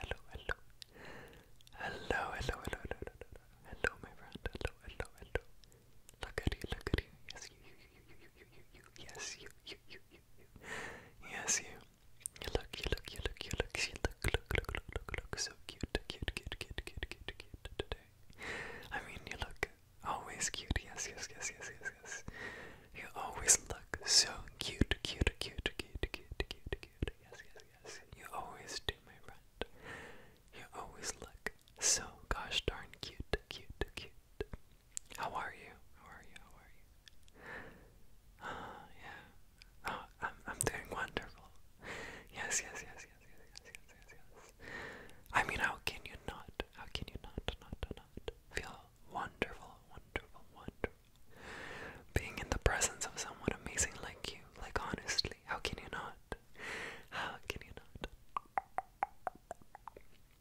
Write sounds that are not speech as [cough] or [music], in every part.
hello, hello. Hello, hello, hello, hello, hello, hello, hello, my friend. Hello, hello, hello. Look at you, look at you. Yes, you, you, you, you, you, you, you. Yes, you, you, you, you, you. Yes, you. You look, you look, you look, you look, you look, look, look, look, look, look. So cute, cute, cute, cute, cute, cute, cute today. I mean, you look always cute. Yes, yes, yes, yes, yes, yes. You always look so cute, cute, cute, cute, cute, cute, cute. Yes, yes, yes, yes, you always do, my friend. You always look so gosh darn cute, cute, cute. How are you? How are you? How are you? Ah, uh, yeah. Oh, I'm I'm doing wonderful. Yes, yes, yes, yes, yes, yes, yes, yes, yes. I mean, how can you not? How can you not, not, not feel wonderful, wonderful, wonderful? Being in the presence of someone amazing like you, like honestly, how can you not? How can you not?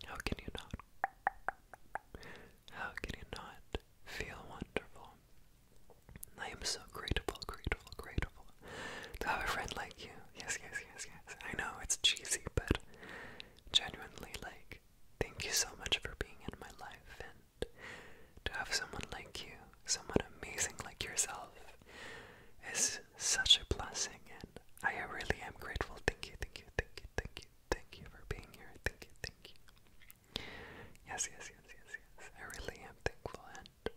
How can you not? How can you not feel wonderful? I am so grateful, grateful, grateful to have a friend like you. Yes, yes, yes, yes. I know it's cheesy, but genuinely, like, thank you so much for being in my life to have someone like you, someone amazing like yourself, is such a blessing, and I really am grateful. Thank you, thank you, thank you, thank you, thank you for being here. Thank you, thank you. Yes, yes, yes, yes, yes. I really am thankful, and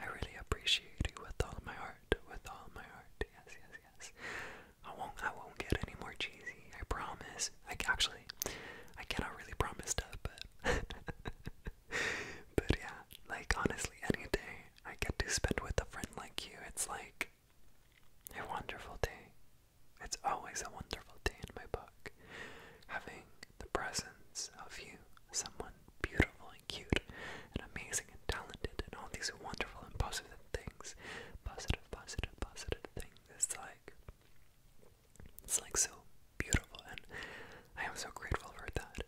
I really appreciate you with all my heart, with all my heart. Yes, yes, yes. I won't, I won't get any more cheesy. I promise. I actually actually. I cannot really promise that, but [laughs] but yeah, like honestly, any day I get to spend with a friend like you, it's like a wonderful day. It's always a wonderful day in my book. Having the presence of you, someone beautiful and cute and amazing and talented and all these wonderful and positive things, positive, positive, positive things. It's like it's like so beautiful, and I am so grateful for that.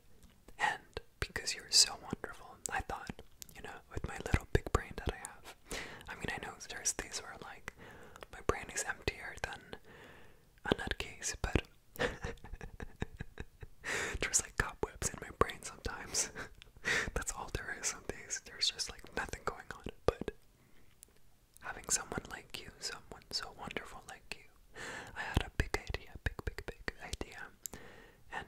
And because you're so wonderful, I thought, you know, with my little big brain that I have, I mean, I know there's days where like my brain is emptier than a nutcase, but [laughs] there's like cobwebs in my brain sometimes. [laughs] That's all there is some days. There's just like nothing going on, but having someone like you, someone so wonderful like you. I had a big idea, big, big, big idea. And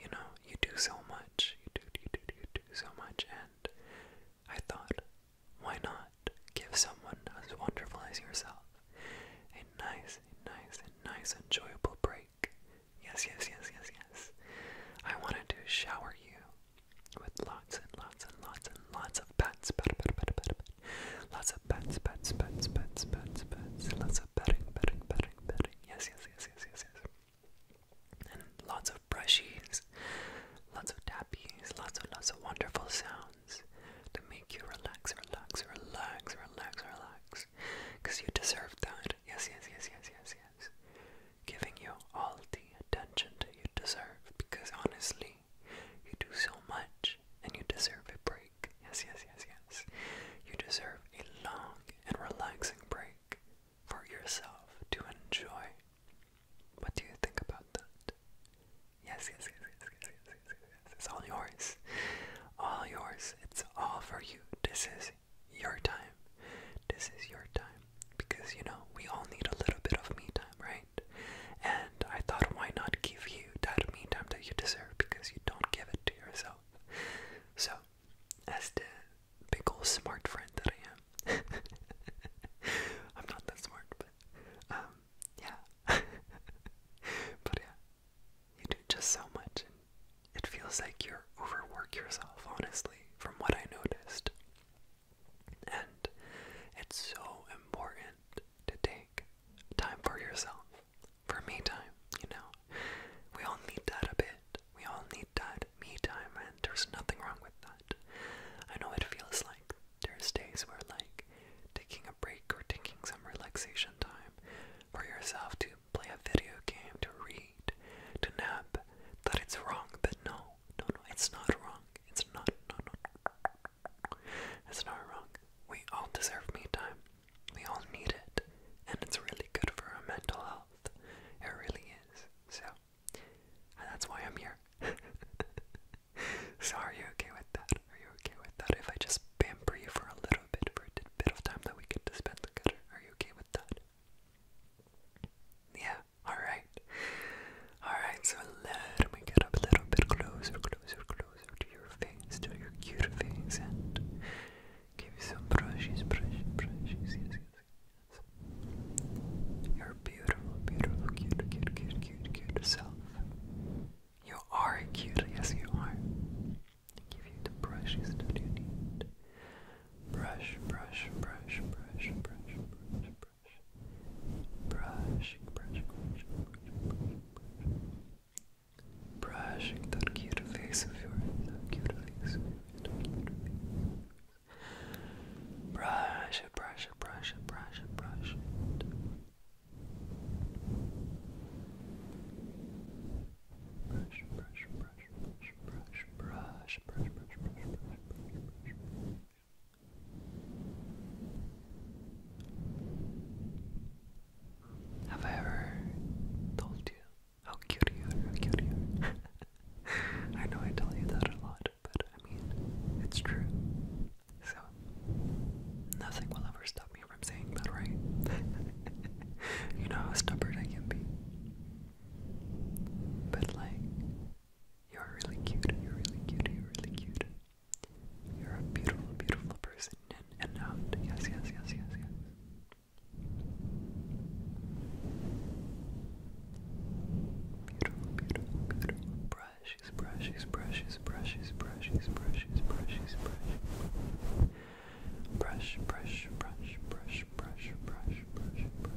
you know, you do so much. You do, you do, you do so much. And I thought, why not give someone as wonderful as yourself a nice, nice, nice, enjoyable break? Yes, yes, yes, yes, yes. I wanted to shower you with lots and lots and lots and lots of pets. Pet, pet, pet, pet, Lots of pets, pets, pets, pets, pets, pets. Lots of petting, petting, petting, petting. Yes, yes, yes, yes, yes, yes. And lots of brushies, lots of tappies, lots and lots of wonderful sounds to make you relax, relax, relax, relax, relax. Because you deserve that. Yes, yes, yes, yes, yes, yes. Giving you all the attention that you deserve because honestly, day. You do so much and you deserve a break. Yes, yes, yes, yes. You deserve a long and relaxing break for yourself to enjoy. What do you think about that? Yes, yes, yes, yes, yes, yes, yes, yes. It's all yours. All yours. It's all for you. This is your time. This is your time because you know we all need a little bit of me time, right? And I thought, why not give you that me time that you deserve because you don't give it to yourself. So, as the big old smart friend that I am, [laughs] I'm not that smart, but um, yeah. [laughs] but yeah, you do just so much, it feels like you are overwork yourself. Honestly, from what I noticed. And it's so important to take time for yourself, for me time, you know. We all need that a bit. We all need that me time, and there's nothing wrong with that. I know it feels like there's days where, like, taking a break or taking some relaxation time for yourself to play a video game, to read, to nap, that it's wrong, but no, no, no, it's not wrong. It's not, no, no. It's not wrong. We all deserve me time. We all need it. And it's really good for our mental health. It really is. So, that's why I'm here. [laughs] so, are you okay with that? Are you okay with that? If I just pamper you for a little bit, for a bit of time that we get to spend together, are you okay with that? Yeah, Alright. Alright, so let me get up a little bit closer, closer, closer to your face, to your cute face, and give you some brushes, brushes, brushes. Yes, yes, yes. You're beautiful, beautiful, cute, cute, cute, cute, cute self. You are cute, yes, you are. I give you the brushes that you need. Brush, brush, brush, brush, brush, brush, brush brushing, brushing, brushing, brushing, brushing, brushing that cute face of yours, that cute face of yours, that cute face. Brush it, brush it, brush it, brush it, brush it. Brush, brush, brush, brush, brush, brush, brush, brush, brush, brush, brush, brush. Have I ever told you how cute you are? How cute you are? [laughs] I know I tell you that a lot, but I mean, it's true. So, nothing will ever stop me from saying that, right? [laughs] you know how stubborn I can be. But, like, you're really cute. You're really cute. You're really cute. You're a beautiful, beautiful person in and out. Um, yes, yes, yes, yes, yes. Beautiful, beautiful, beautiful. Brushes, brushes, brushes, brushes, brushes, brushes, brushes, brushes. Brush, brush, brush, brush, brush, brush, brush, brush.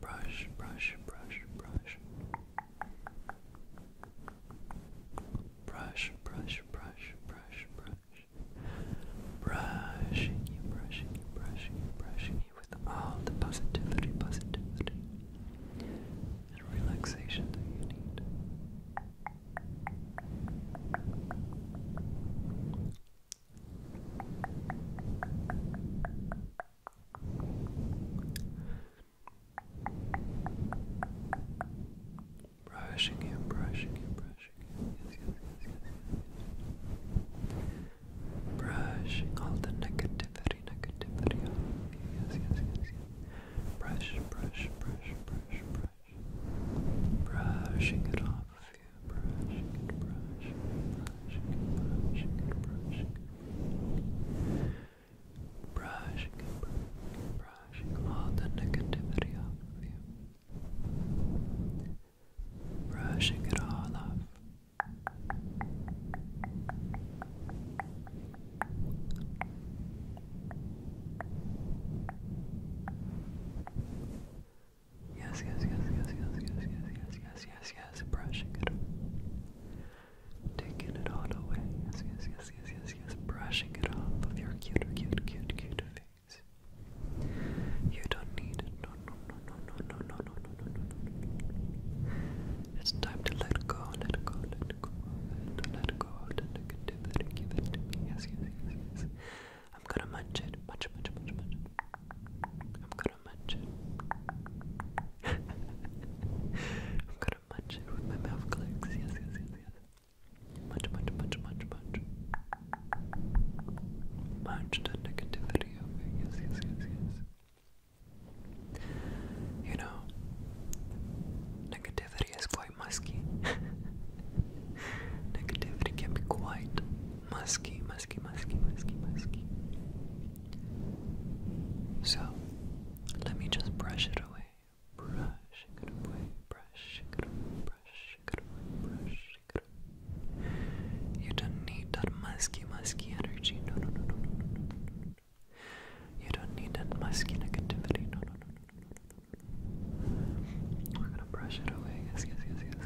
brush, brush, brush, brush. Brush, brush, brush, brush, brush. Brushing you, brushing you, brushing you, brushing you with all the positivity, positivity, and relaxation that you need. Brushing him, brushing him, brushing him. Yes, yes, yes, yes, Brushing all the negativity, negativity off Yes, yes, yes, yes. Brush, brush, brush, brush, brush. Brushing it off of you. Brushing it, brushing brush, brush, brush, brush, brush, all the negativity off of you, brushing it all off. Yes, yes, yes, yes, yes, yes, yes, yes, yes, yes, yes, yes, brushing it off. Taking it all away, yes, yes, yes, yes, yes, yes, brushing it off of your cute, cute, cute, cute face. You don't need it, no, no, no, no, no, no, no, no, no, no, no, no. It's time to let go, let go, let go of it, let go of the negativity, give it to me, yes, yes, yes, yes. I'm gonna munch it, munch, munch, munch, munch. I'm gonna gonna munch it. I'm gonna munch it with my mouth clicks. Yes, yes, yes, yes. Munch, munch, munch, munch, munch. Munch the negativity of Yes, yes, yes, yes. You know, negativity is quite musky. [laughs] negativity can be quite musky, musky, musky, musky, musky. So, let me just brush it away. Brush it away, brush it away, brush it away, brush it away. You don't need that musky, musky energy. No, no, no, no, no, no, no. You don't need that musky negativity. No, no, no, no, no, no, no. We're gonna brush it away. Yes, yes, yes, yes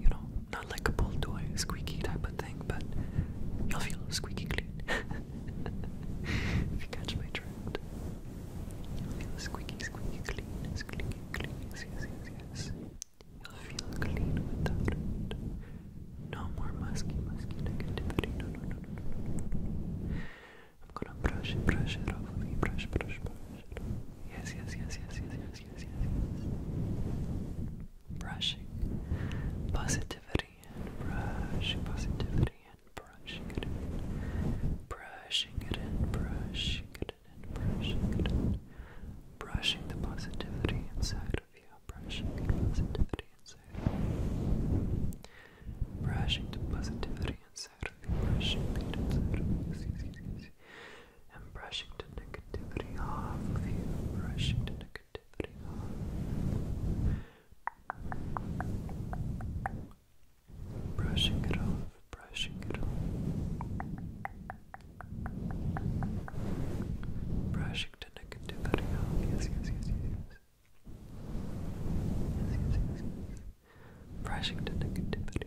you know, not like a pull squeaky type of thing, but you'll feel squeaky clean. [laughs] if you catch my drift, you'll feel squeaky, squeaky clean, squeaky clean. Yes, yes, yes, You'll feel clean without it. No more musky, musky negativity. No, no, no, no, no, no. I'm gonna brush it, brush it off of you. Brush, brush, brush yes, yes, yes, yes, yes, yes, yes brushing positivity brushing positivity and brushing it in, brushing it in, brushing it in, brushing it in, brushing the positivity inside of you, brushing positivity inside brushing the positivity inside and brushing the negativity off of you, brushing the negativity off, brushing it off, brushing it off, brushing the negativity off. Yes, yes, yes, yes, yes. Yes, yes, yes, yes. Brushing the negativity.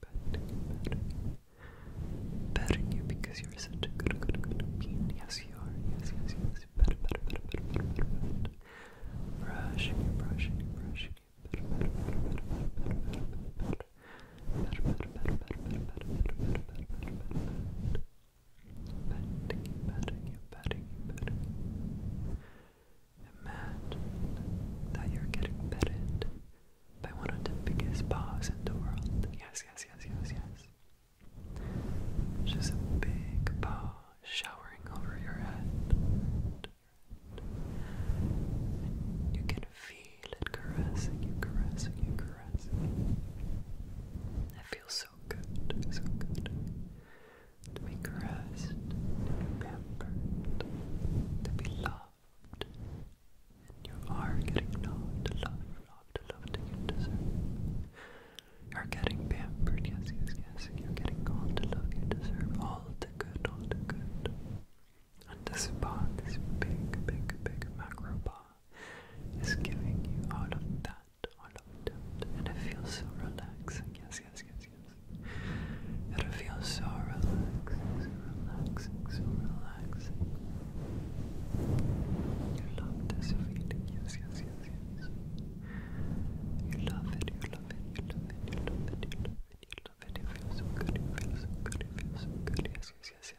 better, better, better you because you're such a good, good, good bean. Yes, you are. Yes, yes, yes. Better, better, better, better, better, better, better. Brushing brushing you, brushing you. Better, better, better, better, better, better, better, better. Better, better, better, better, better, better, better, better, better, better, better. Betting, betting, you betting, you betting. Imagine that you're getting petted by one of the biggest bars in the world. Yes, yes, yes, yes, yes. Just a big bar showering over your head. And you can feel it caressing you, caressing you, caressing It feels so good, so good to be caressed, pampered, to be loved you are getting loved, loved, loved, loved, and you deserve. You're getting pampered, yes, yes, yes. You're getting all the love you deserve, all the good, all the good. And this paw, this big, big, big macro paw, is giving you all of that, all of that. And it feels so relaxing, yes, yes, yes, yes. It feels so relaxing, so relaxing, so relaxing. You love this feeling, yes, yes, yes, yes. You love it, you love it, you love it, you love it, you love it, you love it, you feel so good, feel so good, feel so good, yes, yes, yes, yes, yes.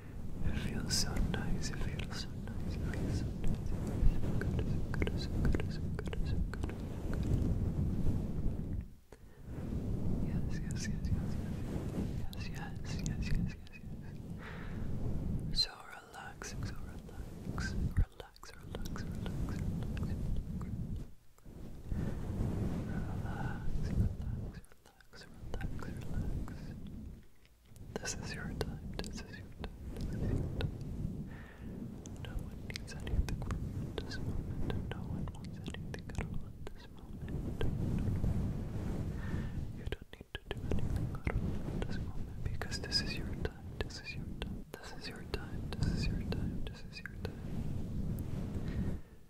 It feels so nice, it feels so nice, it feels so nice, it feels so good, Yes, yes, yes, yes, yes, yes, yes, yes, yes, yes, So relaxing, so relax, relax, relax, relax, relax, relax relax, relax, relax. This is your time, this is your time, this is your time. No one needs anything from you at this moment, and no one wants anything at all at this moment. You don't need to do anything at all at this moment because this is your time, this is your time, this is your time, this is your time, this is your time. This is your time.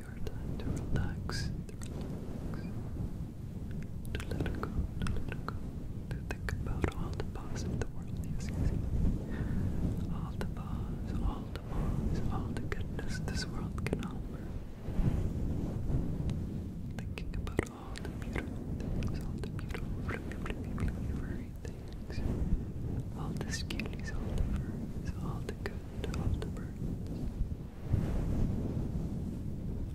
is your time to relax, to let go, to think about all the pause in all the pause, all the pause, all the goodness this world can offer. Thinking about all the beautiful things, all the beautiful, flippy, flippy, flippy, things, all the cuties, all the furries, all the good of the birds.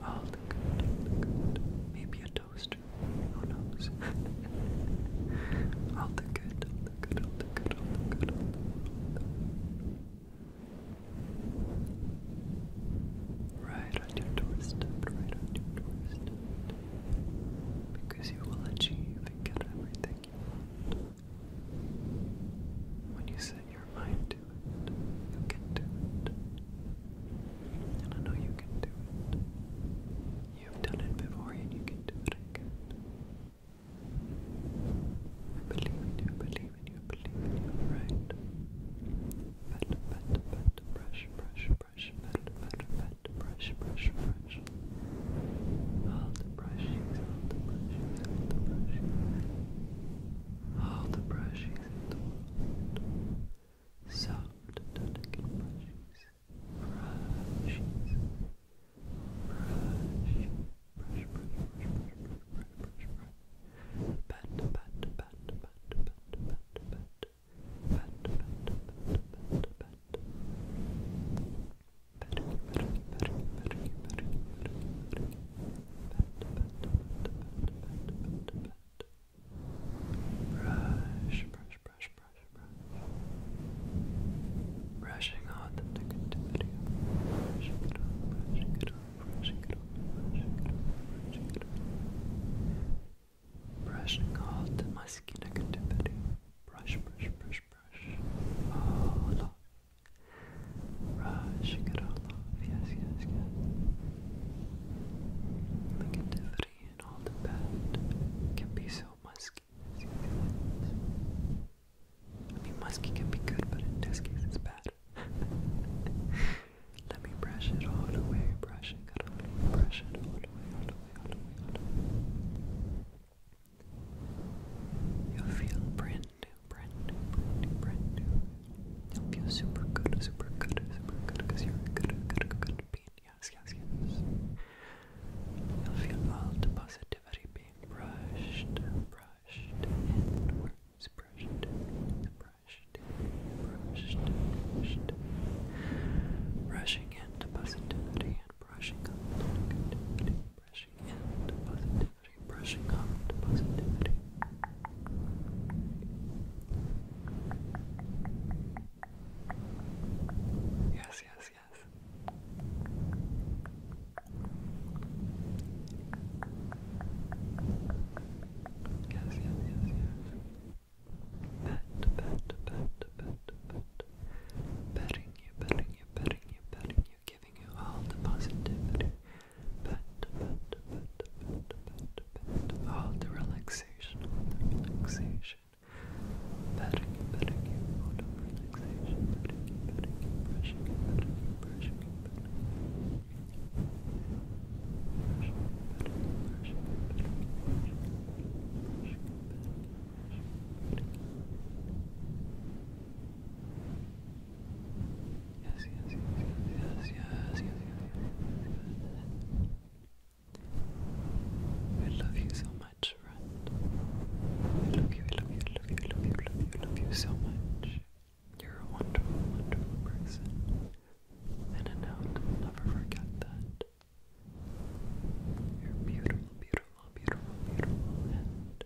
All the good, all the good. Maybe a toaster, who knows? [laughs] all the good, all the good, all the good, all the good. Right on your doorstep, right on your doorstep. Because you will achieve and get everything when you set your mind to it, you can do it. And I know you can do it. You've done it before and you can do it again. I believe in you, believe in you, believe in you, right? Pet, pet, pet, brush, brush, brush, pet, pet, pet, brush, brush, brush brush. All the brushings, all the brushings, all the brushings. All the brushings Soft, delicate brushings. Brushes. Brush. Brush, brush, brush, brush, brush, brush, brush, brush. Pat, pat, pat, pat, pat, pat, pat. Pat, pat, pat, Brush, brush, brush, brush, brush. Brushing out the negativity. Brushing it off, brushing it off, brushing it off, brushing it off, brushing it off. Brushing out the musky negativity. Brush, brush, brush, brush, all off. Brushing it all off. Yes, yes, yes. Negativity and all the bad can be so musky. I mean, musky can be good, but in this case, it's bad. [laughs] Let me brush it all away, brush it all away, brush it all away, all away, all away. You'll feel brand new, brand new, brand new, brand new. you super good, super good, super good, because you're a good, good, good being. Yes, yes, yes. You'll feel all the positivity being brushed, brushed inwards, brushed, brushed, brushed, brushed. Brushing into positivity and brushing up negativity. Brushing brushing into positivity, Yes, yes, yes. Yes, yes, yes, yes. Bet, bet, bet, bet, bet. Betting you, betting you, betting you, betting giving you all the positivity, but, but, but, but, all the relaxation, all the relaxation, patting you, patting you, relaxation, patting you, patting you, brushing you, patting you, brushing you, patting you, brushing you, patting you, brushing you, yes, yes, yes, yes, yes, yes, yes, yes, yes. I love you so much, friend. I love you, I love you, I love you, I love you, I love you, I love you so much. You're a wonderful, wonderful person. And I know to never forget that. You're beautiful, beautiful, beautiful, beautiful, and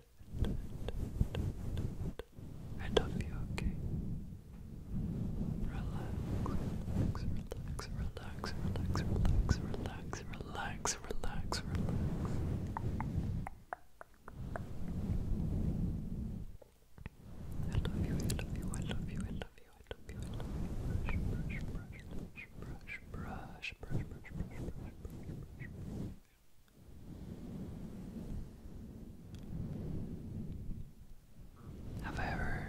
I love you, okay? Relax, relax, relax, relax, relax, relax, relax, relax, relax, I love you, I love you, I love you, I love you, I love you, I love you. brush, brush, brush, brush, brush. Have I ever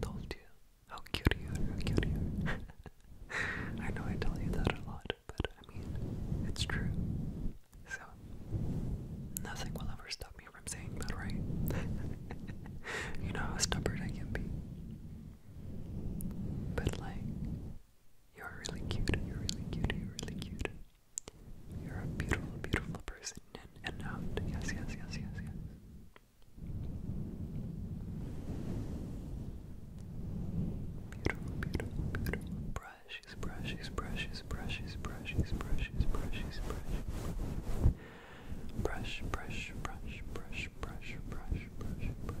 told you how cute you are, how cute you are? [laughs] I know I tell you that a lot, but I mean, it's true. So, nothing will ever stop me from saying that, right? [laughs] you know how stubborn I can be. But, like, you're really cute. You're really cute. You're really cute. You're a beautiful, beautiful person in and out. Um, yes, yes, yes, yes, yes. Beautiful, beautiful, beautiful. Brushes, brushes, brushes, brushes, brushes, brushes, brushes, brushes. Brush, brush, brush, brush, brush, brush, brush, brush.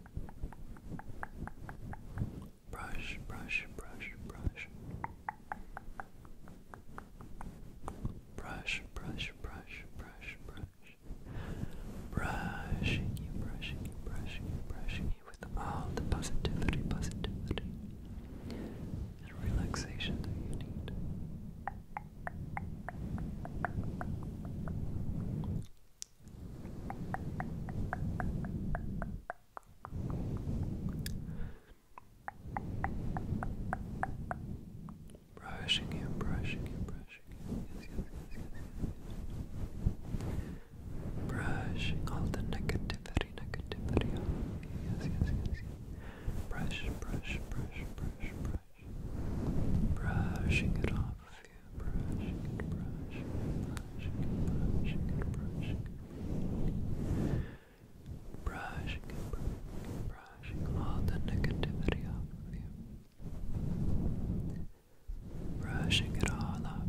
Brush, brush, brush, brush. Brush, brush, brush, brush, brush. Brushing you, brushing you, brushing you, brushing you with all the positivity, positivity, and relaxation that you need. Brushing him, brushing him, brushing him. Yes, yes, yes, yes, yes. Brushing all the negativity, negativity off. Yes, yes, yes, yes. Brush, brush, brush, brush, brush. Brushing it off you brushing brushing brushing brushing brushing brushing brushing, all the negativity off of you. Brushing it all off.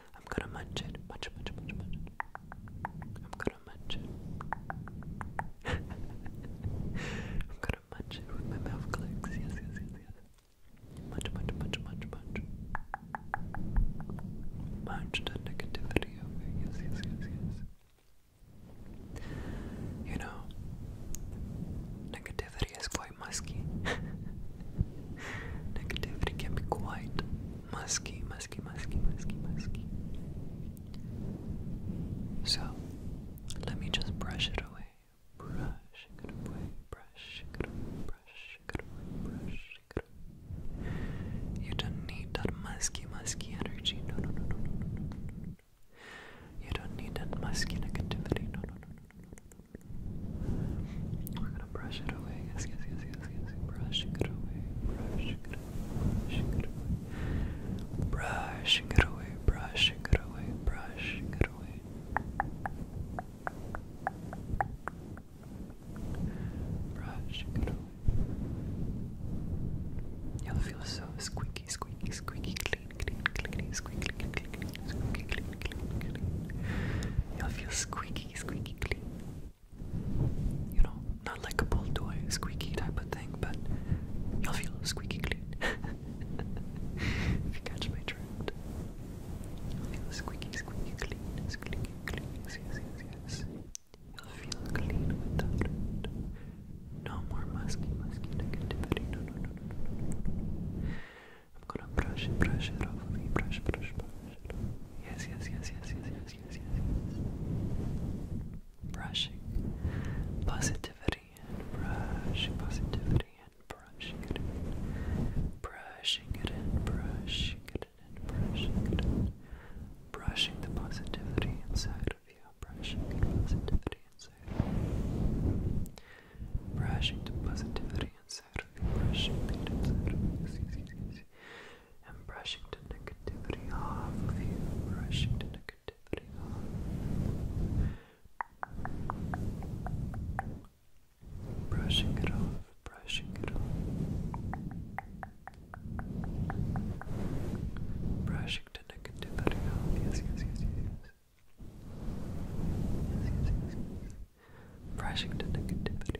I'm gonna munch it. Munch, munch, munch, munch. I'm gonna munch it. [laughs] I'm gonna munch it with my mouth clicks. Yes, yes, yes, yes. Munch, munch, munch, munch, munch. Munch the negativity over. Yes, yes, yes, yes. You know, negativity is quite musky. [laughs] negativity can be quite musky, musky, musky, musky, musky. So, let me just brush it away. Brush it away, brush it away, brush it away, brush it away. You don't need that musky, musky energy. No, no, no, no, no, no, You don't need that musky negativity. No, no, no, no, gonna brush it away. Yes, yes, yes, yes, yes. Brushing it away. Brushing it away. Brushing it away. Brushing it away. Brushing it away. Brushing it away. Brushing it away. You'll feel so squeaky, squeaky, squeaky, clean, clean, clean, squeaky, clean, clean, squeaky, clean, clean, clean. You'll feel squeaky, squeaky, clean you know, not like a pull squeaky type of thing, but you'll feel squeaky clean. if you catch my drift, you'll feel squeaky, squeaky clean, squeaky clean. Yes, yes, yes, You'll feel clean with that drift. No more musky, musky negativity. No, no, no, no, no, no. I'm gonna brush it, brush it off of me, brush, brush, brush Yes, yes, yes, yes, yes, yes. Brushing positivity and brushing positivity in. Brushing it in, brushing it in, brushing it in. Brushing the positivity inside of you, brushing the positivity inside Brushing the positivity inside of you, brushing it inside and brushing the negativity off of you, brushing the negativity off, brushing it off, brushing it off, brushing the negativity off. Yes, yes, yes, yes, yes. Yes, yes, yes, yes. Brushing the negativity.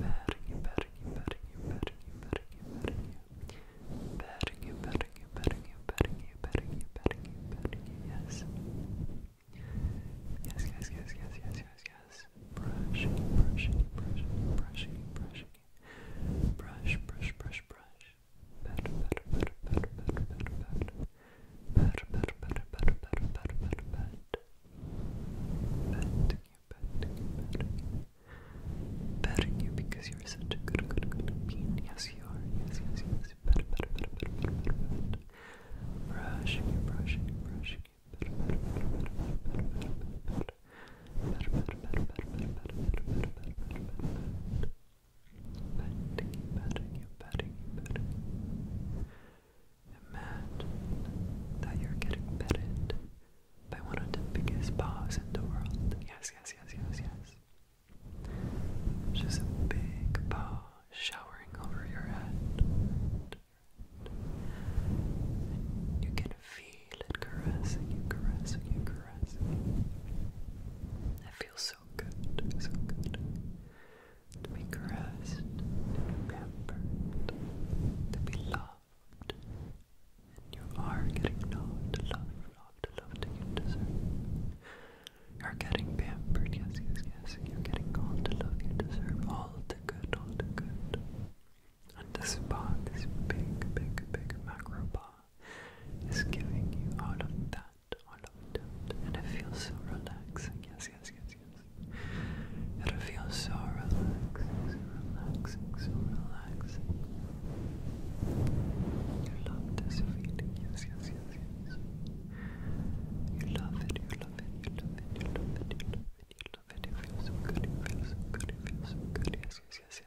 Patting you, patting you, patting you, patting you, patting you, patting you. Patting yes. Yes, yes, yes, yes, yes, yes, yes. Brushing, brushing, brushing, brushing, brushing. Brush, brush, brush, brush. Pat, pat, pat, pat, pat, pat, pat. Pat, pat, pat, pat, pat, pat, pat, pat. Pat better you, better you, because you're such a good, good, good bean. Yes, you are. Yes, yes, yes. Better, better, better, better, better, better, Brushing you, brushing you, brushing you. Better, better, better, better, better, better, better, better. Better, better, better, better, better, better, better, better, better, better, better. you, petting you, petting you, Imagine that you're getting petted by one of the biggest powers in the world. Yes, yes, yes, yes, yes. Just a big power showering over your head. And you can feel it caressing you, caressing you, caressing It feels so good, so good. To be caressed, to be pampered, to be loved loved. And you are getting loved, loved, loved, loved, you deserve. You're getting pampered, yes, yes, yes. You're getting all the love you deserve, all the good, all the good. And this spa, this big, big, big macro bar is giving you all of that, all of that. And it feels so relaxing, yes, yes, yes, yes. It'll feel so relaxing, so relaxing, so relaxing. You love this feeling, yes, yes, yes, yes. You love it, you love it, you love it, you love it, you love it, you love it. It feels so good, it feels so good, it feels so good, yes, yes, yes, yes, yes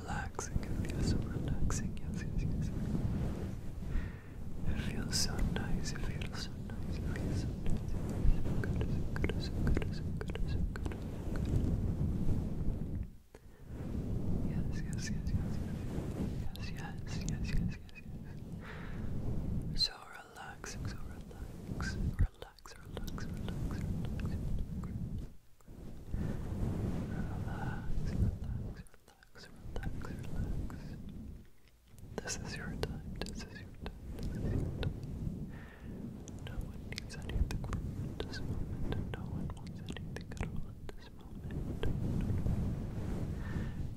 relaxing. It feels so relaxing. Yes, yes, yes. It feels so nice. It feels so nice. It feels so nice. so good. So good. So good. So good. So good. So good. Yes, yes, yes, yes, yes, yes, yes, yes, yes, yes. So relaxing, so relax, relax, relax, relax, relax, relax, relax, relax, this is your time, this is your time, this is your time. No one needs anything at this moment, no one wants anything at this moment.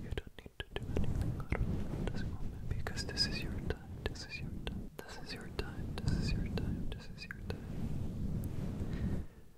You don't need to do anything at this moment because this is your time, this is your time, this is your time, this is your time. This is your time.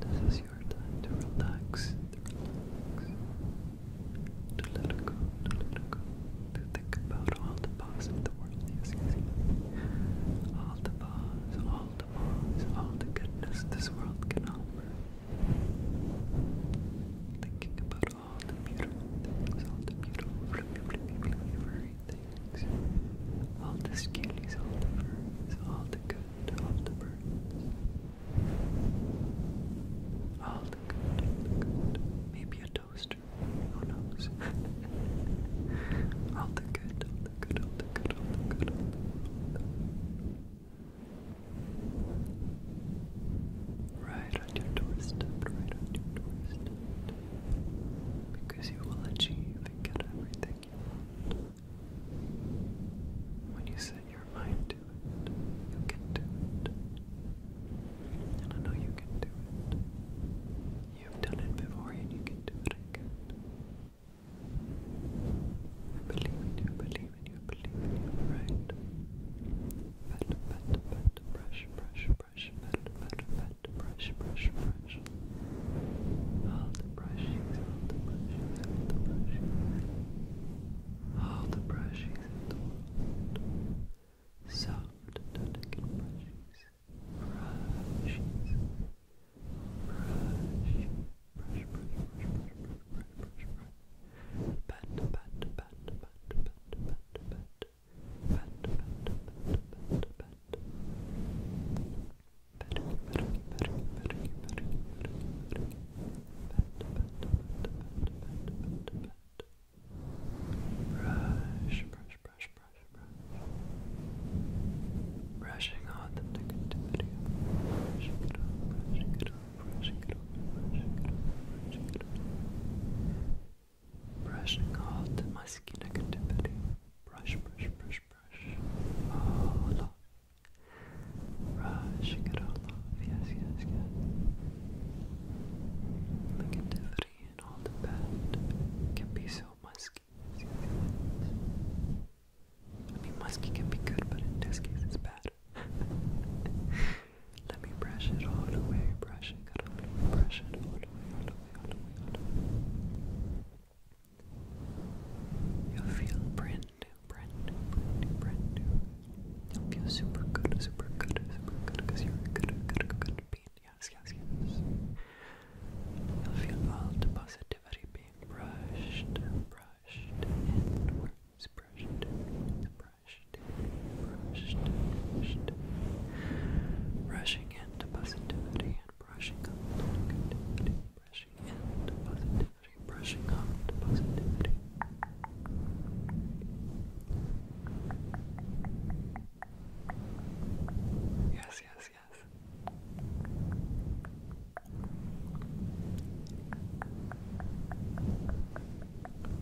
This is your time to relax, to let go, to think about all the past the world. Yes, All the past, all the past, all the goodness this world can offer. Thinking about all the beautiful things, all the beautiful, flippy, flippy, flippy, furry things. All the skinnies, all the birds, all the good, all the birds. All the good, all the good. Maybe a toaster, who knows? [laughs] all the good, all the good, all the good, all the good, all the good. Right on your doorstep, right on your doorstep. Because you will achieve and get everything when you set your mind to it, you can do it. And I know you can do it. You've done it before and you can do it again. I believe in you, I believe in you, I believe in you, right? Pet, pet, pet, brush, brush, brush, pet, pet, pet, that brush, brush, brush. All the brushes, all the brushes, all the brushes. All the brushes Soft, delicate brushes. Brushes. Brush. Brush, brush, brush, brush, brush, brush, brush, brush. Pat, pat, pat, pat, pat, pat, pat. Pat, pat, pat, pat, pat. Brush, brush, brush, brush, brush. Brushing on the negativity. Brushing it off, brushing it off, brushing it off, brushing it off, brushing it off. Brushing off the musky negativity. Brush, brush, brush, brush, All oh, off. Brushing it all off. Yes, yes, yes. Negativity and the bad can be so musky. I mean, musky can be good, but in this case, it's bad. [laughs] Let me brush it all away, brush it all away, brush it all away, all away, all away. You'll feel brand new, brand new, brand new, brand new. You'll feel super good, super good, super good, you're good, good, good, good being. Yes, yes, You'll feel all the positivity being brushed, brushed inwards, brushed brushed brushed, brushed. Rushing into positivity, brushing up to brushing in positivity, brushing up positivity. Yes, yes, yes.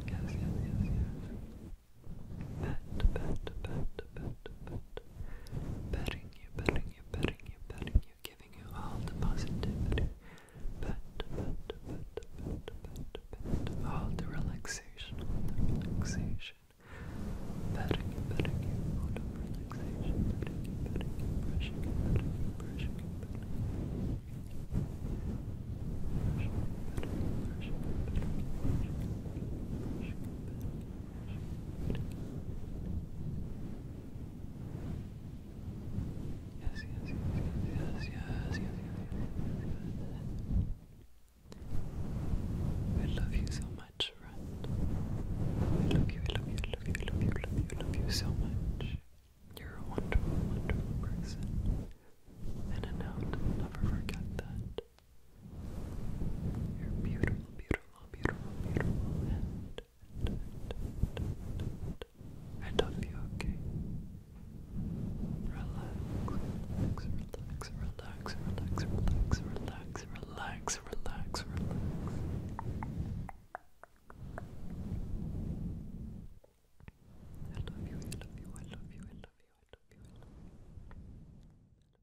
Yes, yes, yes, yes. Pet, pet, pet, pet, pet. Betting you, betting you, betting you, betting you, giving you all the positivity. Bet, bet, bet, bet, bet, bet, all the relaxation, all the relaxation. Betting you, betting you, all the relaxation. Betting you, betting you, brushing you, betting you, brushing you, betting you. Brushing, betting you, brushing, betting you, brushing, betting you, brushing, betting you yes, yes, yes, yes, yes, yes, We love you so much, friend. We love you, we love you, we love you, we love you, we love you, so much. You're a wonderful, wonderful person. And a note, never forget that. You're beautiful, beautiful, beautiful, beautiful, and, I love you, okay? Relax, relax, relax, relax, relax, relax, relax, relax, relax, relax. I love you, I love you, I love you, I love you, I love you.